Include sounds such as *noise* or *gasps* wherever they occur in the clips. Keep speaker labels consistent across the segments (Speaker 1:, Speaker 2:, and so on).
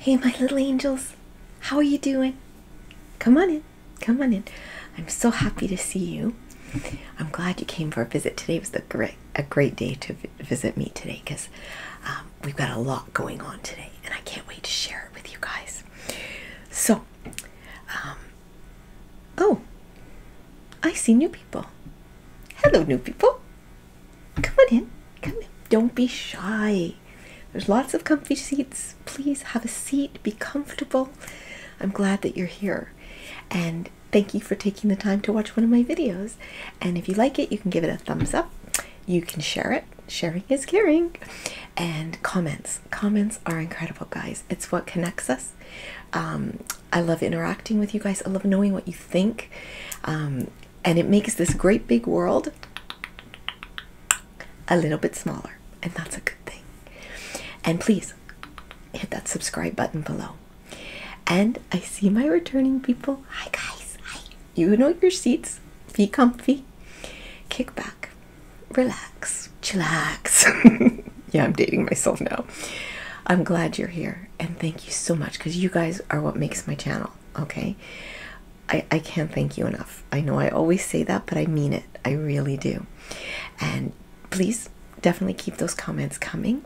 Speaker 1: Hey, my little angels, how are you doing? Come on in, come on in. I'm so happy to see you. I'm glad you came for a visit. Today It was a great, a great day to visit me today because um, we've got a lot going on today, and I can't wait to share it with you guys. So, um, oh, I see new people. Hello, new people. Come on in, come in. Don't be shy. There's lots of comfy seats. Please have a seat, be comfortable. I'm glad that you're here. And thank you for taking the time to watch one of my videos. And if you like it, you can give it a thumbs up. You can share it. Sharing is caring. And comments. Comments are incredible, guys. It's what connects us. Um, I love interacting with you guys. I love knowing what you think. Um, and it makes this great big world a little bit smaller, and that's a good thing. And please hit that subscribe button below. And I see my returning people. Hi, guys. Hi. You know your seats. Be comfy. Kick back. Relax. Chillax. *laughs* yeah, I'm dating myself now. I'm glad you're here. And thank you so much because you guys are what makes my channel. Okay. I, I can't thank you enough. I know I always say that, but I mean it. I really do. And please definitely keep those comments coming.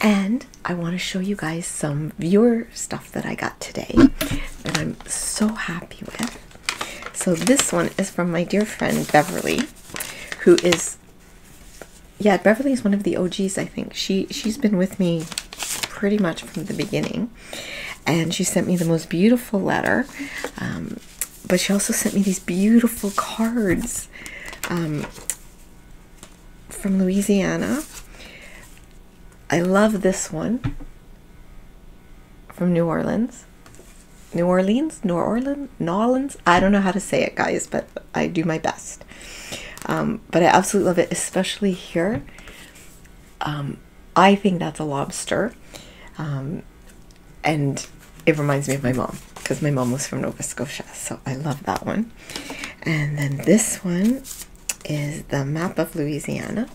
Speaker 1: And I want to show you guys some viewer stuff that I got today that I'm so happy with. So this one is from my dear friend Beverly, who is yeah, Beverly is one of the OGs, I think. She she's been with me pretty much from the beginning. And she sent me the most beautiful letter. Um, but she also sent me these beautiful cards um, from Louisiana. I love this one from New Orleans. New Orleans, New Orleans, New Orleans. I don't know how to say it, guys, but I do my best. Um, but I absolutely love it, especially here um, I think that's a lobster. Um, and it reminds me of my mom because my mom was from Nova Scotia, so I love that one. And then this one is the map of Louisiana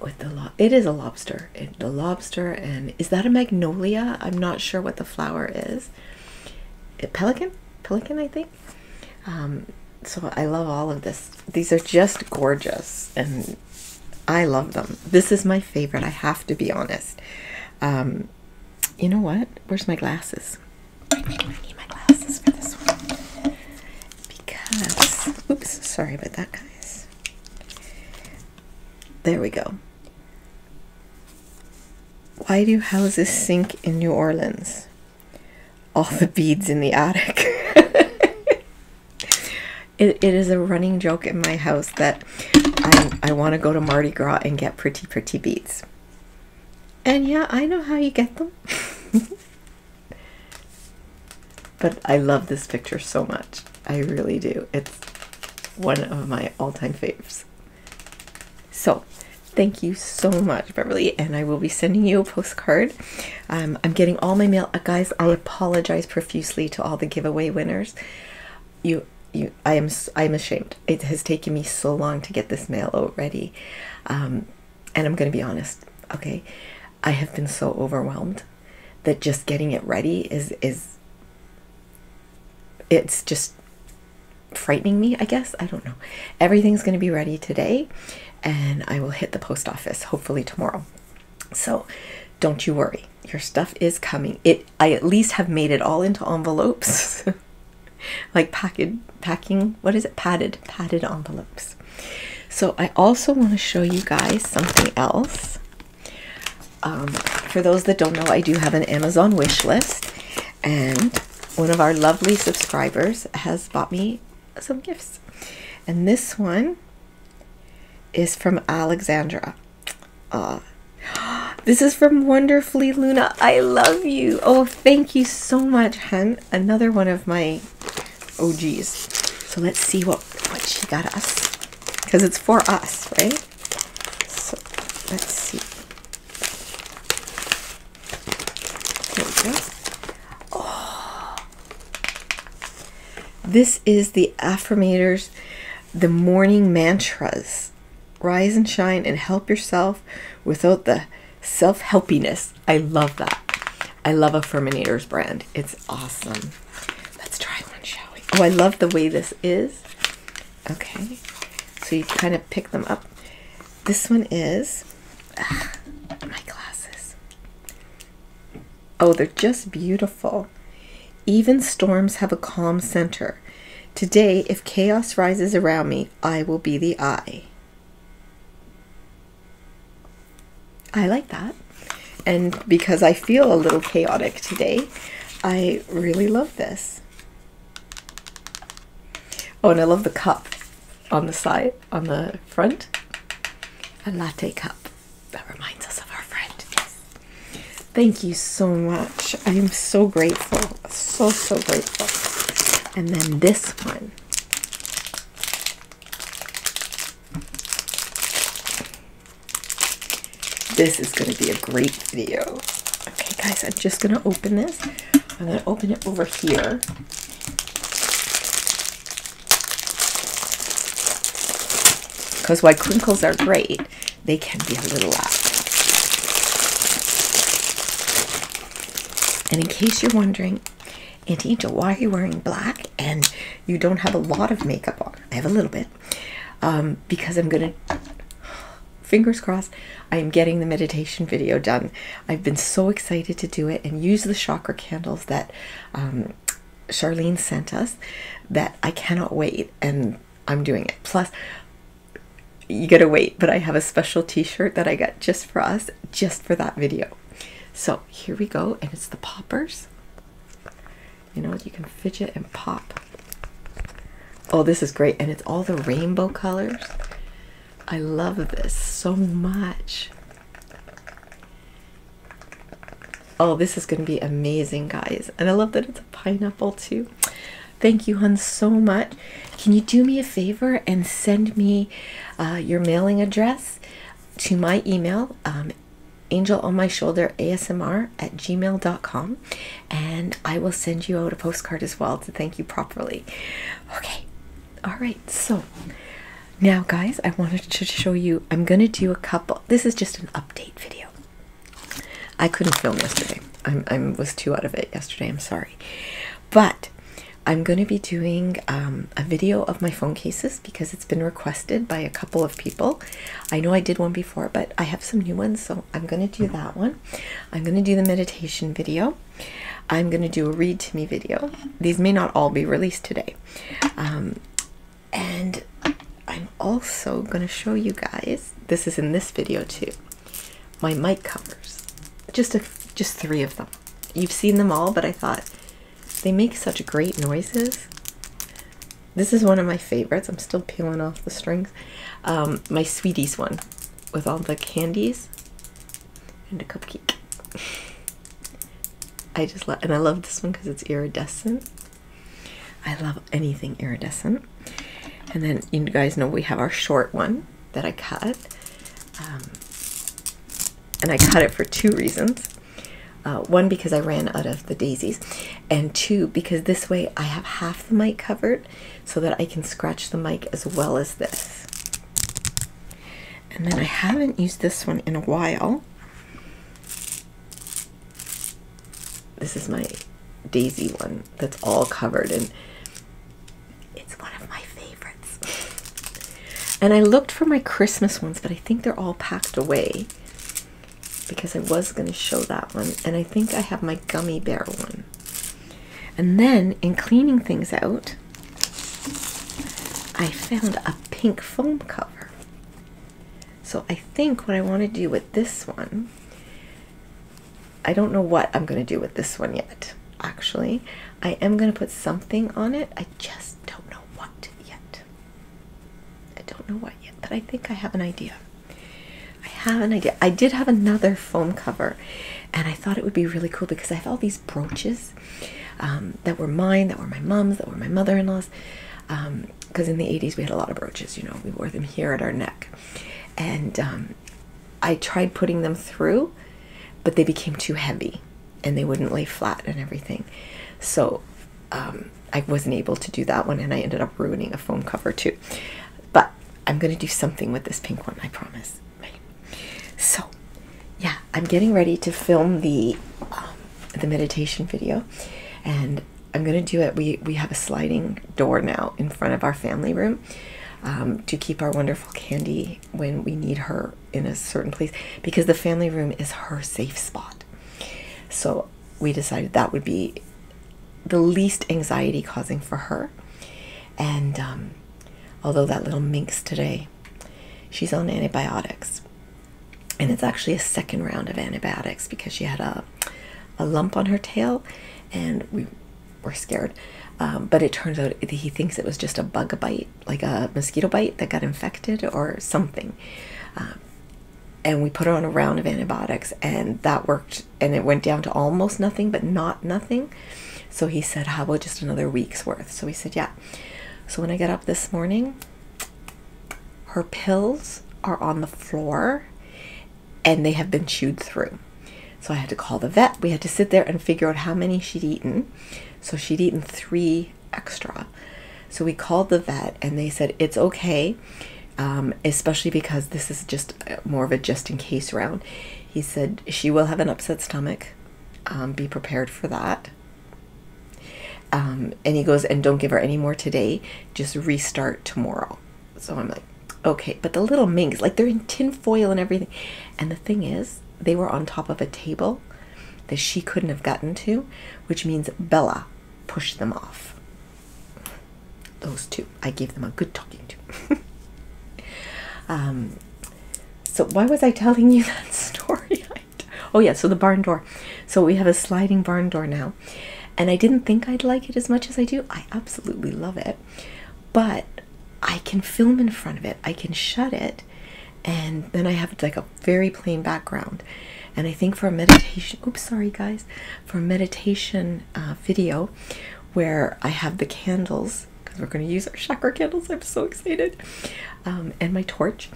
Speaker 1: with the lo- it is a lobster. the lobster and is that a magnolia? I'm not sure what the flower is. A pelican? Pelican, I think. Um, so I love all of this. These are just gorgeous and I love them. This is my favorite, I have to be honest. Um, you know what? Where's my glasses? Because, oops, sorry about that, guys. There we go. Why do houses sink in New Orleans? all the beads in the attic. *laughs* it is a running joke in my house that I want to go to Mardi Gras and get pretty, pretty beads. And yeah, I know how you get them. *laughs* but I love this picture so much. I really do. It's one of my all-time faves. So, thank you so much, Beverly, and I will be sending you a postcard. Um, I'm getting all my mail, uh, guys. I apologize profusely to all the giveaway winners. You, you, I am, I am ashamed. It has taken me so long to get this mail out ready, um, and I'm going to be honest. Okay, I have been so overwhelmed that just getting it ready is is. It's just frightening me, I guess. I don't know. Everything's going to be ready today, and I will hit the post office hopefully tomorrow. So don't you worry. Your stuff is coming. It I at least have made it all into envelopes. *laughs* like packed packing, what is it? Padded, padded envelopes. So I also want to show you guys something else. Um, for those that don't know, I do have an Amazon wish list, and one of our lovely subscribers has bought me some gifts. And this one is from Alexandra. Uh, *gasps* this is from Wonderfully Luna. I love you. Oh, thank you so much, hun. Another one of my OGs. So let's see what, what she got us. Because it's for us, right? So let's see. Oh. This is the Affirmators, the morning mantras. Rise and shine and help yourself without the self helpiness. I love that. I love Affirmators brand. It's awesome. Let's try one, shall we? Oh, I love the way this is. Okay, so you kind of pick them up. This one is ah, my glasses. Oh, they're just beautiful. Even storms have a calm center. Today, if chaos rises around me, I will be the eye. I like that. And because I feel a little chaotic today, I really love this. Oh, and I love the cup on the side, on the front. A latte cup. That reminds us of our friend. Thank you so much. I am so grateful. So, so grateful. And then this one. This is going to be a great video. Okay, guys, I'm just going to open this. I'm going to open it over here. Because while crinkles are great, they can be a little loud. And in case you're wondering, Angel, why are you wearing black and you don't have a lot of makeup on? I have a little bit. Um, because I'm going to fingers crossed, I am getting the meditation video done. I've been so excited to do it and use the chakra candles that um, Charlene sent us that I cannot wait and I'm doing it. Plus, you gotta wait, but I have a special t shirt that I got just for us, just for that video. So here we go, and it's the poppers. You know, you can fidget and pop Oh, this is great. And it's all the rainbow colors. I love this so much. Oh, this is going to be amazing, guys. And I love that it's a pineapple, too. Thank you, hun, so much. Can you do me a favor and send me uh, your mailing address to my email, um, angel on my shoulder ASMR at gmail.com? and I will send you out a postcard as well to thank you properly. Okay, all right, so now, guys, I wanted to show you. I'm gonna do a couple. This is just an update video. I couldn't film yesterday. I'm, I was too out of it yesterday. I'm sorry, but I'm gonna be doing um, a video of my phone cases because it's been requested by a couple of people. I know I did one before, but I have some new ones, so I'm gonna do that one. I'm going to do the meditation video. I'm going to do a read to me video. These may not all be released today. Um, and I'm also going to show you guys, this is in this video too, my mic covers. Just, a, just three of them. You've seen them all, but I thought they make such great noises. This is one of my favorites. I'm still peeling off the strings. Um, my Sweeties one with all the candies and a cupcake. *laughs* I just love, and I love this one because it's iridescent. I love anything iridescent. And then you guys know we have our short one that I cut. Um, and I cut it for two reasons. Uh, one, because I ran out of the daisies, and two, because this way I have half the mite covered so that I can scratch the mic as well as this. And then I haven't used this one in a while. This is my daisy one that's all covered and it's one of my favorites. and I looked for my Christmas ones, but I think they're all packed away because I was going to show that one. And I think I have my gummy bear one. And then in cleaning things out, I found a pink foam cover. So I think what I want to do with this one, I don't know what I'm going to do with this one yet, actually. I am going to put something on it. I just don't know what yet. I don't know what yet, but I think I have an idea. I have an idea. I did have another foam cover, and I thought it would be really cool because I have all these brooches um, that were mine, that were my mom's, that were my mother in law's. Because um, in the 80s, we had a lot of brooches, you know, we wore them here at our neck. And um, I tried putting them through, but they became too heavy and they wouldn't lay flat and everything. So I wasn't able to do that one, and I ended up ruining a foam cover too. But I'm gonna do something with this pink one, I promise. Right. So, yeah, I'm getting ready to film the um, the meditation video, and I'm gonna do it. We we have a sliding door now in front of our family room um, to keep our wonderful Candy when we need her in a certain place because the family room is her safe spot. So we decided that would be the least anxiety causing for her. And um, although that little minx today, she's on antibiotics. And it's actually a second round of antibiotics because she had a, a lump on her tail and we were scared. Um, but it turns out he thinks it was just a bug bite, like a mosquito bite that got infected or something. Um, and we put her on a round of antibiotics, and that worked and it went down to almost nothing, but not nothing. So he said, How about just another week's worth? So he said, Yeah. So when I got up this morning, her pills are on the floor and they have been chewed through. So I had to call the vet. We had to sit there and figure out how many she'd eaten. So she'd eaten three extra. So we called the vet and they said, It's okay. Um, especially because this is just uh, more of a just in case round. He said, She will have an upset stomach. Um, be prepared for that. Um, and he goes, And don't give her any more today. Just restart tomorrow. So I'm like, Okay. But the little minx, like they're in tin foil and everything. And the thing is, they were on top of a table that she couldn't have gotten to, which means Bella pushed them off. Those two. I gave them a good talking to. *laughs* um, so, why was I telling you *laughs* that story? *laughs* oh, yeah, so the barn door. So, we have a sliding barn door now. And I didn't think I'd like it as much as I do. I absolutely love it. But I can film in front of it, I can shut it, and then I have like a very plain background. And I think for meditation, oops, sorry guys, for meditation uh, video where I have the candles because we're going to use our chakra candles. I'm so excited. Um, and my torch.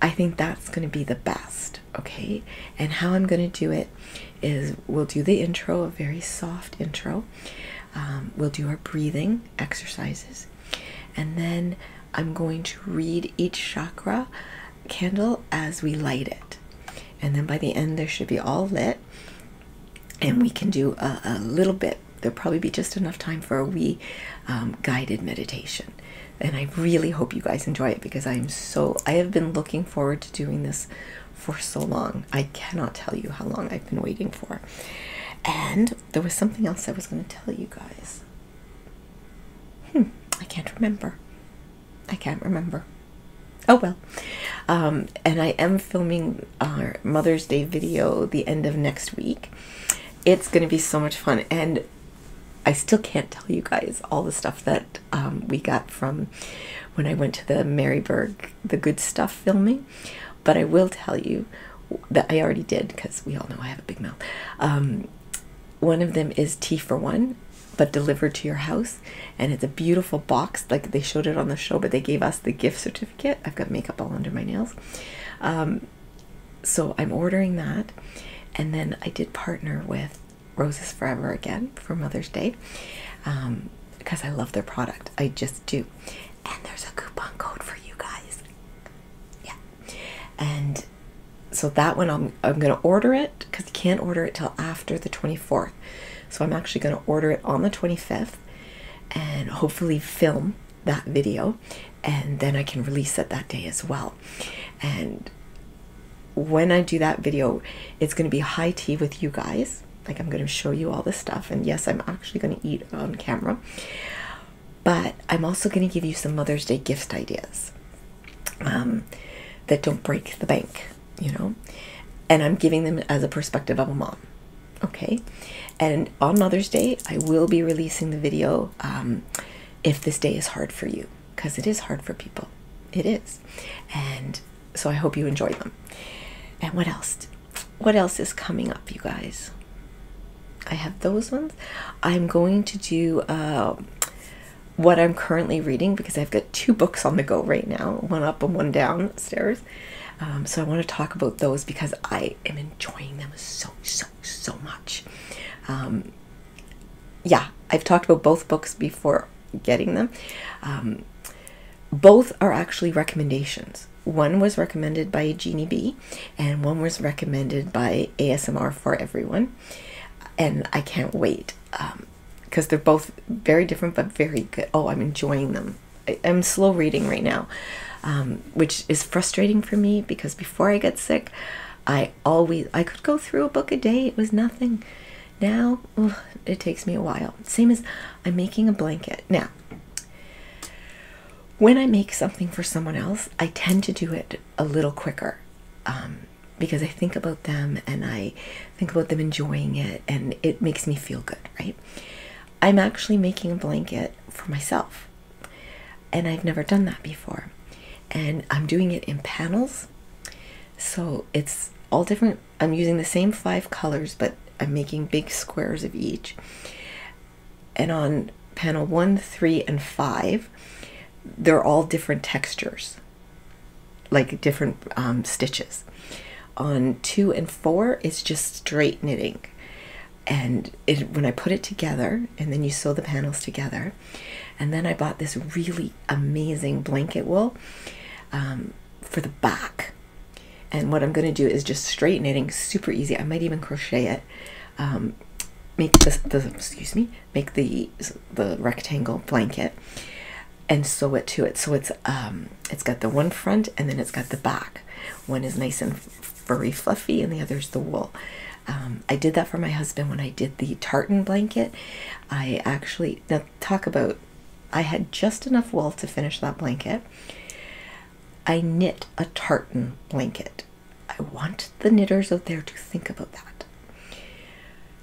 Speaker 1: I think that's going to be the best. Okay. And how I'm going to do it is we'll do the intro, a very soft intro. Um, we'll do our breathing exercises. And then I'm going to read each chakra candle as we light it and then by the end there should be all lit and we can do a, little bit there'll probably be just enough time for a wee um, guided meditation and i really hope you guys enjoy it because i'm so i have been looking forward to doing this for so long i cannot tell you how long i've been waiting for and there was something else i was going to tell you guys hmm i can't remember I can't remember. Oh well. Um, and I am filming our Mother's Day video the end of next week. It's going to be so much fun. And I still can't tell you guys all the stuff that um, we got from when I went to the Maryburg, the good stuff filming. But I will tell you that I already did because we all know I have a big mouth. Um, one of them is Tea for One but delivered to your house. And it's a beautiful box, like they showed it on the show, but they gave us the gift certificate. I've got makeup all under my nails. Um, so I'm ordering that. And then I did partner with Roses Forever again for Mother's Day because um, I love their product. I just do. And there's a coupon code for you guys. Yeah. And so that one I'm, I'm going to order it because you can't order it till after the 24th. So I'm actually going to order it on the 25th and hopefully film that video and then I can release that that day as well. And when I do that video, it's going to be high tea with you guys. Like I'm going to show you all this stuff. And yes, I'm actually going to eat on camera. But I'm also going to give you some Mother's Day gift ideas um, that don't break the bank, you know, and I'm giving them as a perspective of a mom. Okay, and on Mother's Day, I will be releasing the video um, if this day is hard for you because it is hard for people, it is, and so I hope you enjoy them. And what else? What else is coming up, you guys? I have those ones. I'm going to do uh, what I'm currently reading because I've got two books on the go right now, one up and one downstairs. Um, so I want to talk about those because I am enjoying them so, so, so much. Um, yeah, I've talked about both books before getting them. Um, both are actually recommendations. One was recommended by Jeannie B, and one was recommended by ASMR for Everyone. And I can't wait because they're both very different but very good. Oh, I'm enjoying them. I, am slow reading right now, um, which is frustrating for me because before I get sick, I always I could go through a book a day. It was nothing. Now it takes me a while. Same as I'm making a blanket now. When I make something for someone else, I tend to do it a little quicker. Um, because I think about them and I think about them enjoying it and it makes me feel good, right? I'm actually making a blanket for myself and I've never done that before. And I'm doing it in panels. So it's all different. I'm using the same five colors, but I'm making big squares of each. And on panel one, three, and five, they're all different textures like different um, stitches. On two and four it's just straight knitting. And when I put it together, and then you sew the panels together, and then I bought this really amazing blanket wool um, for the back. And what I'm going to do is just straight knitting, super easy. I might even crochet it. Um, make the, excuse me, make the the rectangle blanket and sew it to it so it's um it's got the one front and then it's got the back one is nice and furry fluffy and the other is the wool um, i did that for my husband when i did the tartan blanket i actually now talk about i had just enough wool to finish that blanket i knit a tartan blanket i want the knitters out there to think about that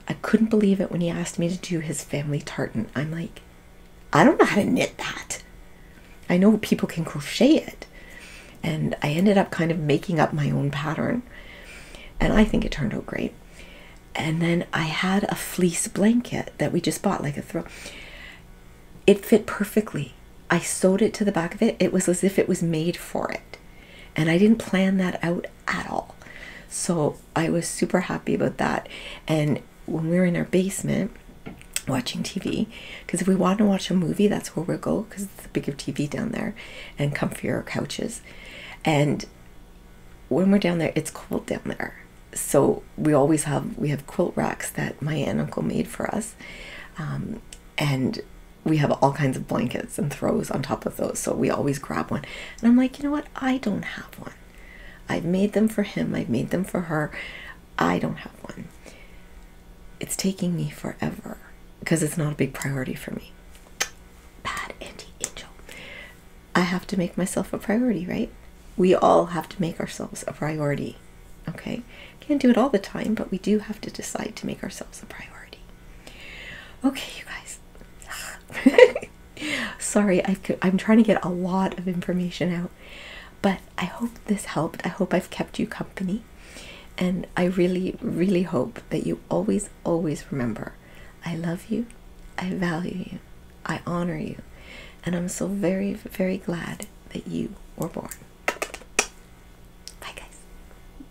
Speaker 1: I couldn't believe it when he asked me to do his family tartan. I'm like, I don't know how to knit that. I know people can crochet it. And I ended up kind of making up my own pattern. And I think it turned out great. And then I had a fleece blanket that we just bought, like a throw. It fit perfectly. I sewed it to the back of it. It was as if it was made for it. And I didn't plan that out at all. So I was super happy about that. And when we were in our basement watching TV, because if we want to watch a movie, that's where we go because it's a bigger TV down there and comfier couches. And when we're down there, it's cold down there. So we always have we have quilt racks that my aunt and uncle made for us, um, and we have all kinds of blankets and throws on top of those, so we always grab one. And I'm like, you know what? I don't have one. I've made them for him, I've made them for her. I don't have one. It's taking me forever because it's not a big priority for me. Bad anti angel. I have to make myself a priority, right? We all have to make ourselves a priority. Okay? Can't do it all the time, but we do have to decide to make ourselves a priority. Okay, you guys. *laughs* Sorry, i am trying to get a lot of information out, but I hope this helped. I hope I've kept you company, and I really, really hope that you always, always remember I love you, I value you, I honor you, and I'm so very, very glad that you were born. Bye, guys.